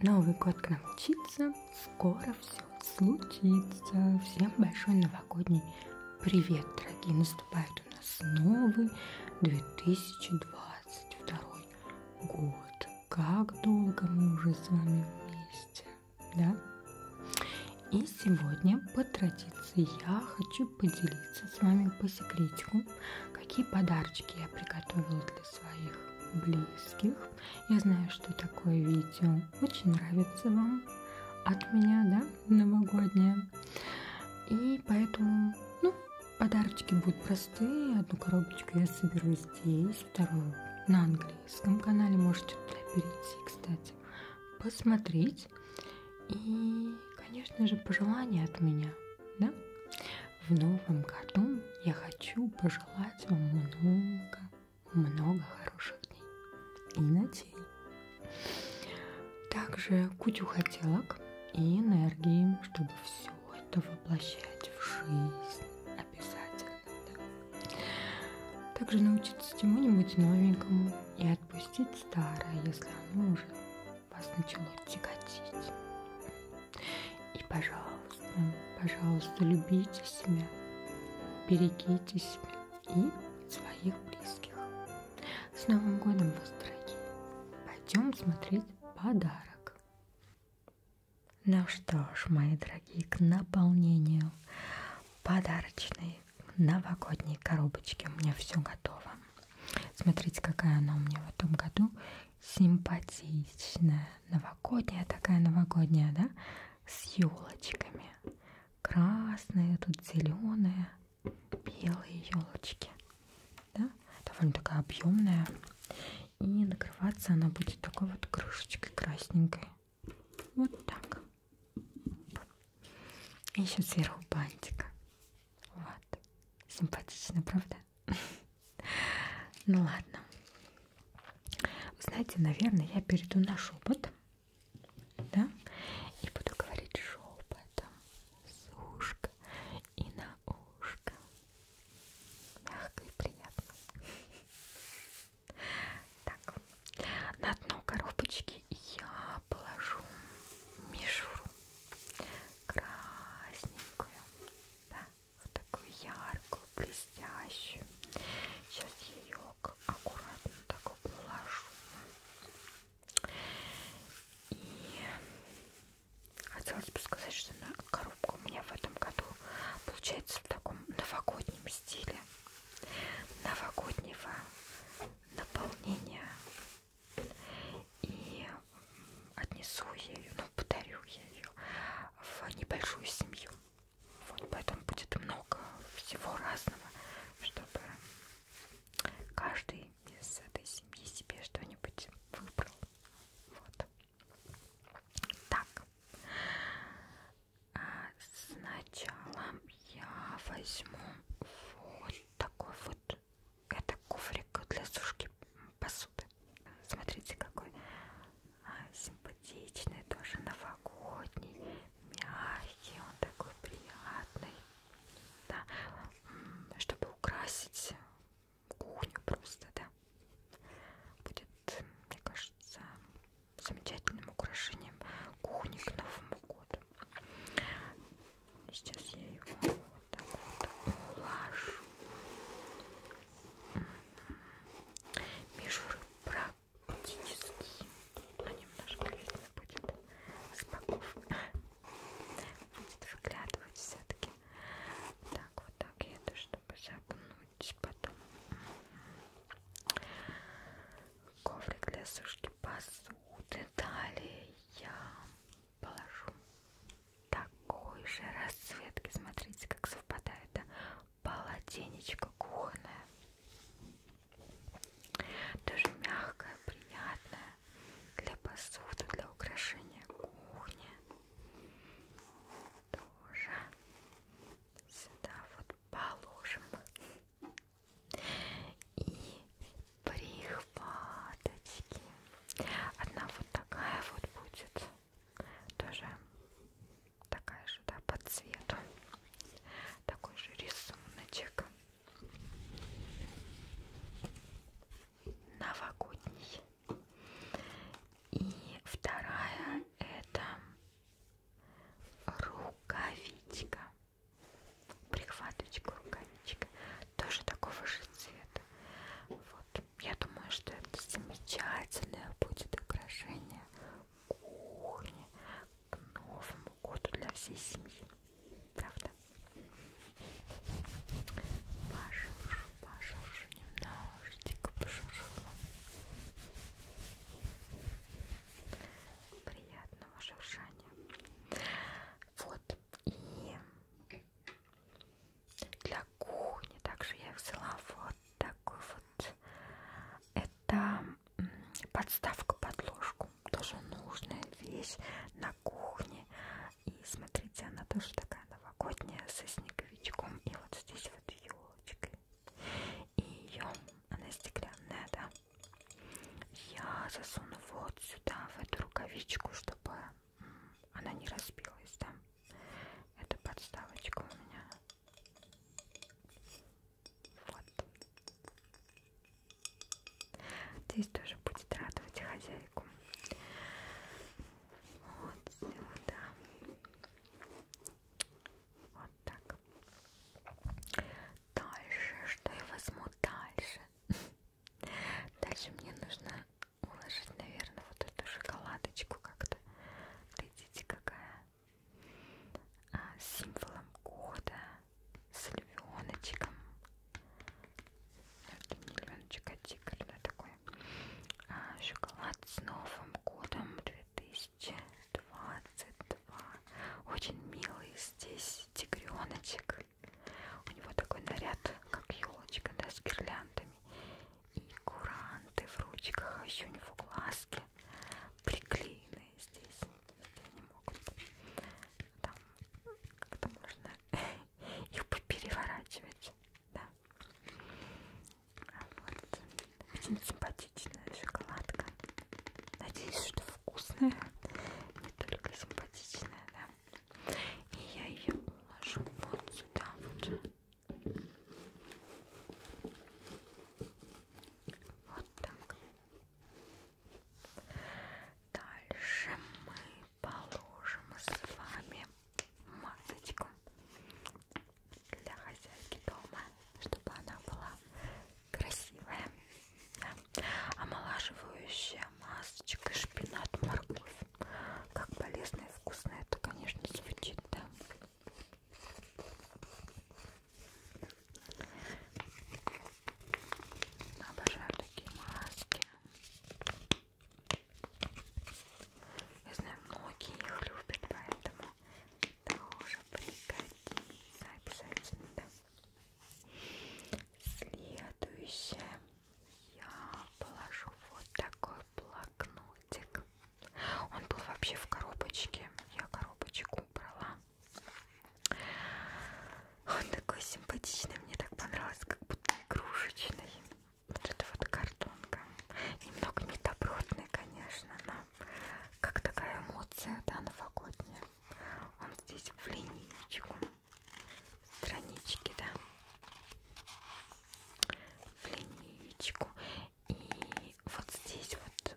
Новый год к нам мчится, скоро все случится. Всем большой новогодний привет, дорогие! Наступает у нас новый 2022 год. Как долго мы уже с вами вместе, да? И сегодня, по традиции, я хочу поделиться с вами по секретику, какие подарочки я приготовила каких-то своих близких. Я знаю, что такое видео очень нравится вам от меня, да, новогоднее. И поэтому, ну, подарочки будут простые. Одну коробочку я соберу здесь, вторую на английском канале. Можете туда перейти, кстати, посмотреть. И, конечно же, пожелания от меня – да? В новом году я хочу пожелать вам много, много хороших дней и ночей. Также кучу хотелок и энергии, чтобы все это воплощать в жизнь обязательно. Да? Также научиться чему-нибудь новенькому и отпустить старое, если оно уже вас начало тяготить. И, пожалуйста, пожалуйста, любите себя, берегите себя и своих близких. С Новым годом вас, дорогие! Пойдем смотреть подарок. Ну что ж, мои дорогие, к наполнению подарочной новогодней коробочки у меня все готово. Смотрите, какая она у меня в этом году симпатичная, новогодняя такая новогодняя, да, с елочками. Красные, тут зеленые, белые елочки. Да? Довольно такая объемная. И накрываться она будет такой вот крышечкой красненькой. Вот так. И еще сверху бантик. Вот. Симпатично, правда? Ну ладно. Вы знаете, наверное, я перейду на шепот. Да? И буду говорить шепотом с ушка и на ушко. Мягко и приятно. Так, на дно коробочки я положу мишуру красненькую. Да вот такую яркую, блестящую. Сейчас я ее аккуратно так положу. И хотелось бы сказать, что коробка у меня в этом году получается в таком новогоднем стиле новогоднего наполнения и отнесу ее, ну, подарю я ее в небольшую семью. Вот, поэтому будет много всего разного, чтобы каждый из этой семьи себе что-нибудь выбрал. Вот. Так. А сначала я возьму вот такой вот это куфрик для сушки посуды. Смотрите, какой а, симпатичный, тоже новогодний, мягкий, он такой приятный. Да, чтобы украсить кухню просто, да. Будет, мне кажется, замечательным украшением кухни к Новому году. Сейчас я его вот так вот улажу. М-м-м. Мишуры практически, но немножко видно будет с боков. Будет выглядывать все-таки. Так, вот так я это, чтобы загнуть потом. М-м-м. Коврик для сушки посуды. Далее я положу такой же расцветки. Смотрите, как совпадает. Да? Полотенечко кухонное. Тоже мягкое, приятное. Для посуды, для украшения кухни. Тоже сюда вот положим. И прихваточки. Одна вот такая вот будет. Тоже такая же, да, по цвету. Такой же рисуночек. Новогодний. И вторая это рукавичка. Прихваточка, рукавичка тоже такого же цвета. Вот. Я думаю, что это замечательное будет украшение кухни к Новому году для всей семьи. Правда? Пошуршу, пошуршу немножечко, пошуршу. Приятного шуршания. Вот. И для кухни. Также я взяла вот такой вот. Это подставка под ложку. Тоже нужная вещь на кухне. И смотрите, она тоже такая новогодняя, со снеговичком. И вот здесь вот елочкой. И ее, она стеклянная, да. Я засуну вот сюда, в эту рукавичку, чтобы она не разбилась, да? Это подставочка у меня. Вот. Здесь тоже будет радовать хозяйку. Вот сюда. Вот так. Дальше. Что я возьму дальше? Дальше мне нужно уложить, наверное, вот эту шоколадочку как-то. Глядите, какая. А, с символом года, с львеночком. Это не львеночек, а тигр, да, такой. А, шоколад с Новым годом 2022. Очень милый здесь тигреночек. У него такой наряд, как елочка, да, с гирляндами. И куранты в ручках, а еще у него глазки приклеены здесь. Я не могу. Там как-то можно их переворачивать. Да. А вот. Очень симпатичная шоколадка. Надеюсь, что вкусная. Не только симпатичная, да. И я ее уложу вот сюда вот. Вот так. Дальше мы положим с вами масочку для хозяйки дома, чтобы она была красивая. Да омолаживающая масочка шпинат морковь как полезно и вкусно это конечно звучит да обожаю такие маски я знаю многие их любят поэтому тоже пригодится обязательно да Следующее я положу вот такой блокнотик. Он был вообще в коробочке. Я коробочку убрала. Он такой симпатичный. Мне так понравилось, как будто игрушечный. Вот это вот картонка. Немного недобротный, конечно, но как такая эмоция, да, новогодняя. Он здесь в линейку странички, да, в линейку. И вот здесь вот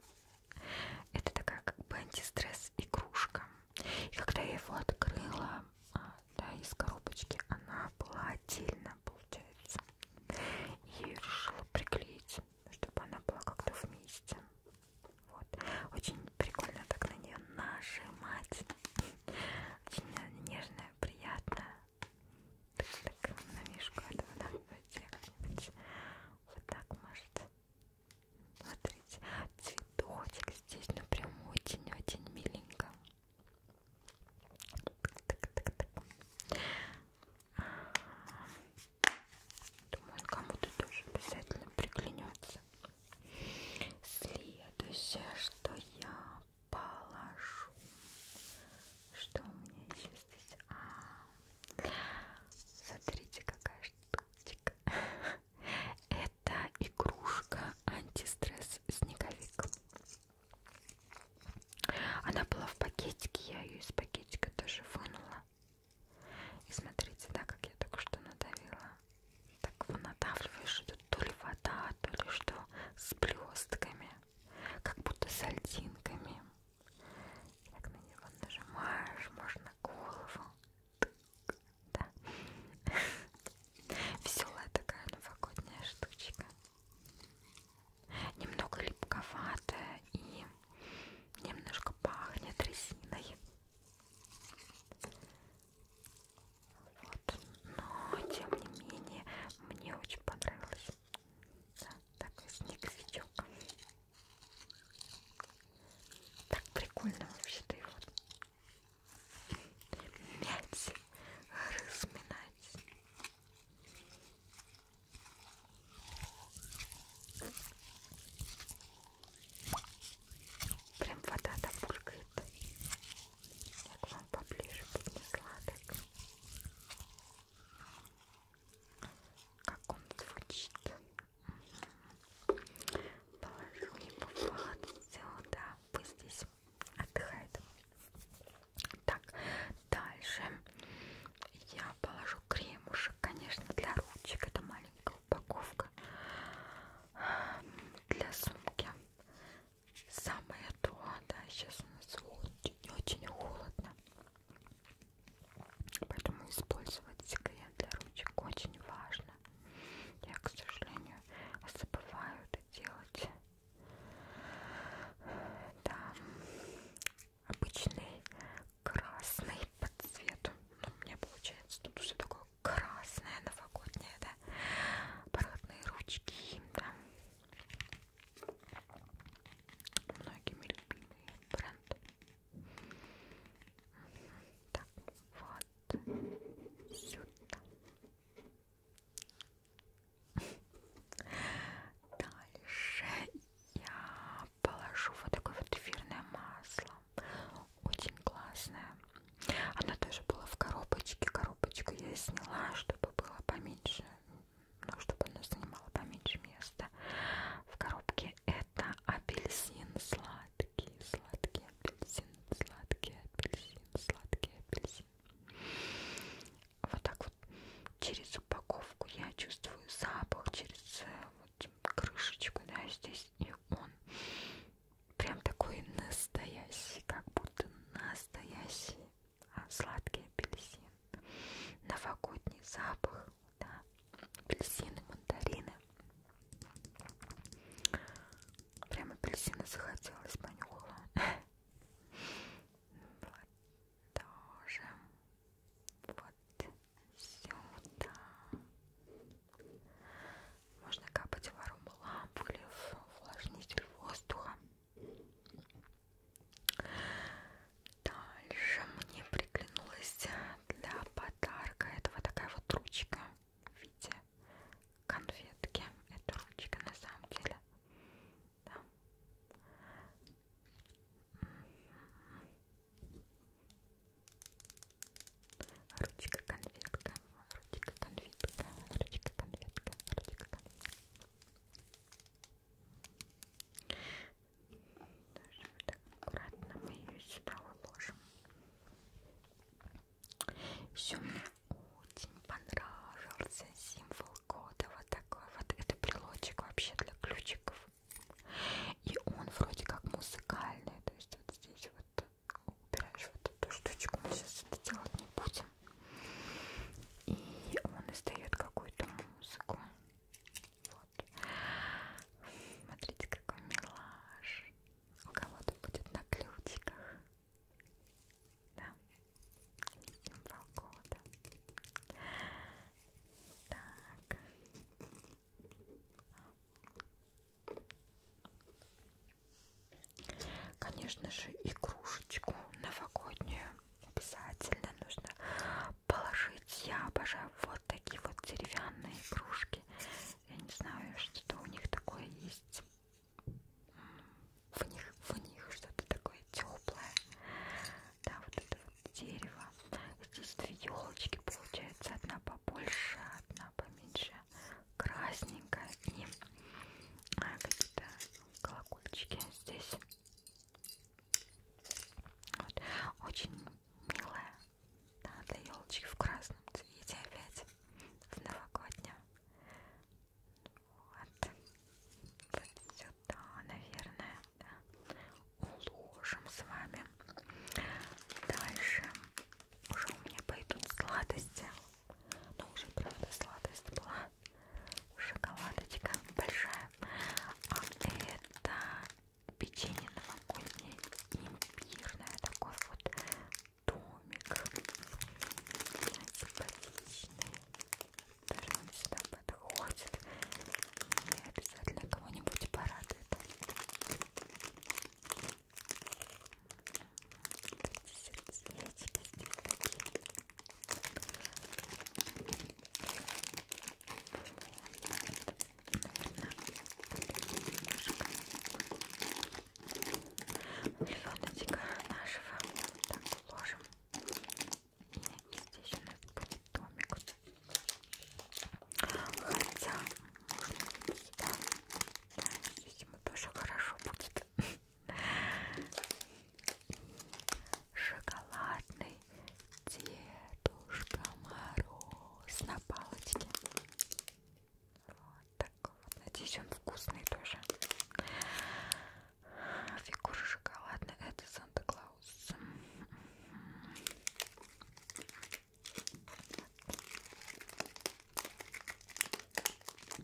это такая как бы антистресс игрушка. И когда я его открыла, а, да, из коробочки, она была отдельно, получается. И я решила приклеить, чтобы она была как-то вместе. Вот. Очень прикольно так на нее нажимать. Очень нежная, приятная. Так, так на мишку этого да, Вот так может. Смотрите, цветочек здесь, ну прям очень-очень миленько. Так, так, так. Думаю, он кому-то тоже обязательно приклянется. Следующее, что я положу. Что у меня еще здесь? А, смотрите, какая штучка. Это игрушка антистресс снеговик. Она была в пакетике, я ее из пакетика тоже вынула. И смотрите, да, как я только что надавила. Так надавливаешь, это то ли вода, то ли что, с блестками, как будто с альдинками. И так на него нажимаешь, можно голову. Да. Веселая такая новогодняя штучка. Немного липковатая и немножко пахнет резиной. Вот. Но, тем не менее, мне очень понравилось. Да, такой снеговичок. Так прикольно вообще-то его мять, разминать. Прям вода там булькает. Я к вам поближе поднесла так. Как он звучит. Положу его вот сюда. Пусть здесь отдыхает. Так, дальше я положу кремушек, конечно, для ручек. Это маленькая упаковка для сумки. Самое то, да, сейчас у нас очень-очень холодно. Поэтому использовать секрет для ручек очень важно. Я, к сожалению, забываю это делать. Да, обычный красный по цвету. Ну, у меня получается тут все такое красное, новогоднее, да. Парадные ручки, да. Многими любимый бренд. Так, вот сюда. Дальше я положу вот такое вот эфирное масло. Очень классное. Она тоже была в коробочке. Коробочку я сняла, чтобы было поменьше. Ну, чтобы она занимала поменьше места. В коробке это апельсин сладкий. Сладкий апельсин, сладкий апельсин, сладкий апельсин. Вот так вот через упаковку я чувствую запах, через э, вот крышечку, да, здесь и он прям такой настоящий, как будто настоящий а, сладкий апельсин. Новогодний запах, да, апельсины, мандарины. Прям апельсины захотелось понюхала. Тоже. Вот вот сюда. Можно капать в аромалампу или в увлажнитель воздуха. Дальше мне приглянулась для подарка это вот такая вот ручка в виде конфетки. Это ручка на самом деле. Да. Ручка конфетка, ручка конфетка, ручка конфетка, ручка конфетка. Даже вот так аккуратно мы ее сюда уложим. Все, мне очень понравился символ кода. Вот такой вот. Это брелочек вообще для ключиков. И он вроде как музыкальный, то есть вот здесь вот убираешь вот эту штучку, мы сейчас это делать не будем. И он издает какую-то музыку. Вот. Смотрите, какой милаш. У кого-то будет на ключиках. Да. Символ года. Так. Конечно же, игрушечку новогоднюю обязательно нужно положить. Я обожаю вот такие вот деревянные игрушки. Я не знаю, что-то у них такое есть. В них, в них что-то такое теплое да, вот это вот дерево. Здесь две елочки получается, одна побольше, одна поменьше, красненькая и а, какие-то колокольчики здесь. Вот. Очень милая, да, для елочки в красном цвете опять, в новогоднем. Вот. вот сюда, наверное, да уложим с вами. Дальше уже у меня пойдут сладости. Но ну, уже правда сладость была. Шоколадочка большая. А это печенье новогоднее имбирное. Такой вот домик. Симпатичный. Даже он сюда подходит. И обязательно кого-нибудь порадует цвета. Сердечки здесь такие. Львеночка нашего так уложим. И здесь у нас будет домик Хотя, да, да, видимо, тоже хорошо будет. Шоколадный Дедушка Мороз на палочке. Вот такой вот. Надеюсь, он вкусный тоже. Фигура шоколадная. Это Санта-Клаус. House.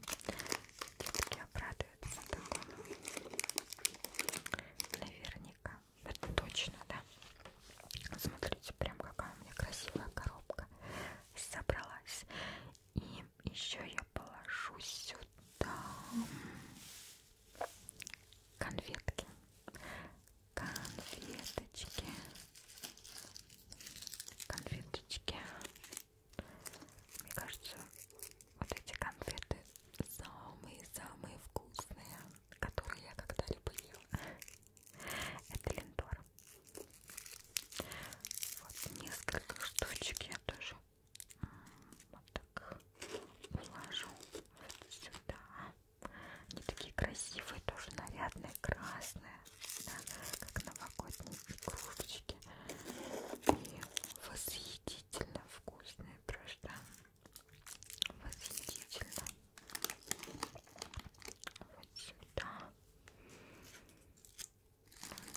Детки обрадуются такому. Наверняка. Это точно, да. Смотрите, прям какая у меня красивая коробка собралась. И еще я положу сюда конфетки конфеточки конфеточки мне кажется вот эти конфеты самые-самые вкусные которые я когда-либо ела это линдор вот несколько штучек я тоже вот так положу вот сюда. Они такие красивые, тоже нарядные, красные, да, как новогодние игрушечки. И восхитительно вкусные просто. Восхитительно. Вот сюда.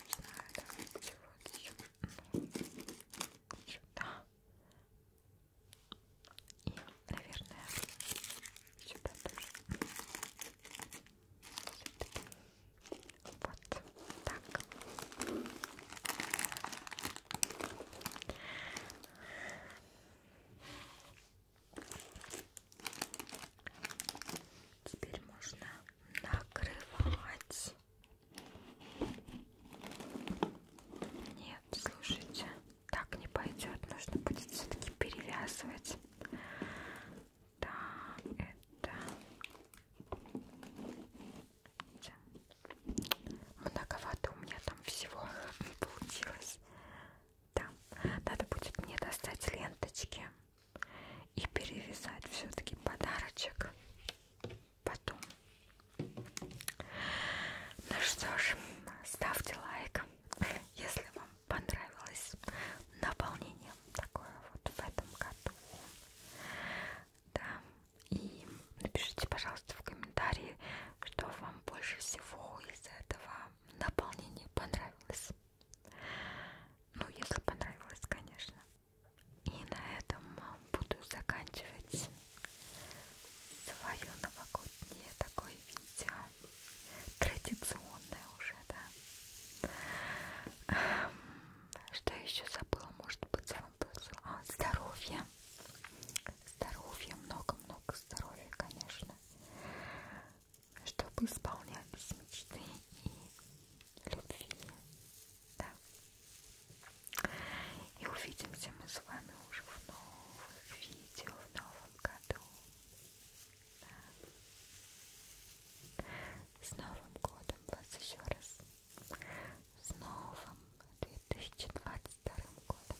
Не знаю, давайте вот ну, сюда. Сюда. И, наверное, сюда тоже. Вот так. Теперь можно накрывать нет, слушайте, так не пойдет. Нужно будет все-таки перевязывать. Так, это... Многовато у меня там всего получилось. Да, надо будет мне достать ленточки и перевязать все-таки подарочек потом. Ну что ж, ставьте лайк, если вам понравилось наполнение такое вот в этом году. Да, и напишите, пожалуйста, в комментарии, что вам больше всего из этого наполнения понравилось. Ну, если понравилось, конечно. И на этом буду заканчивать свое новогоднее такое видео. Традиционное уже, да. Эм, что еще забыла? Может быть, я вам а, здоровье. Здоровье, много-много здоровья, конечно. Чтобы исполнялись мечты и любви да. И увидимся мы с вами уже в новых видео в новом году. Да. С Новым годом вас еще раз. С новым 2022 годом.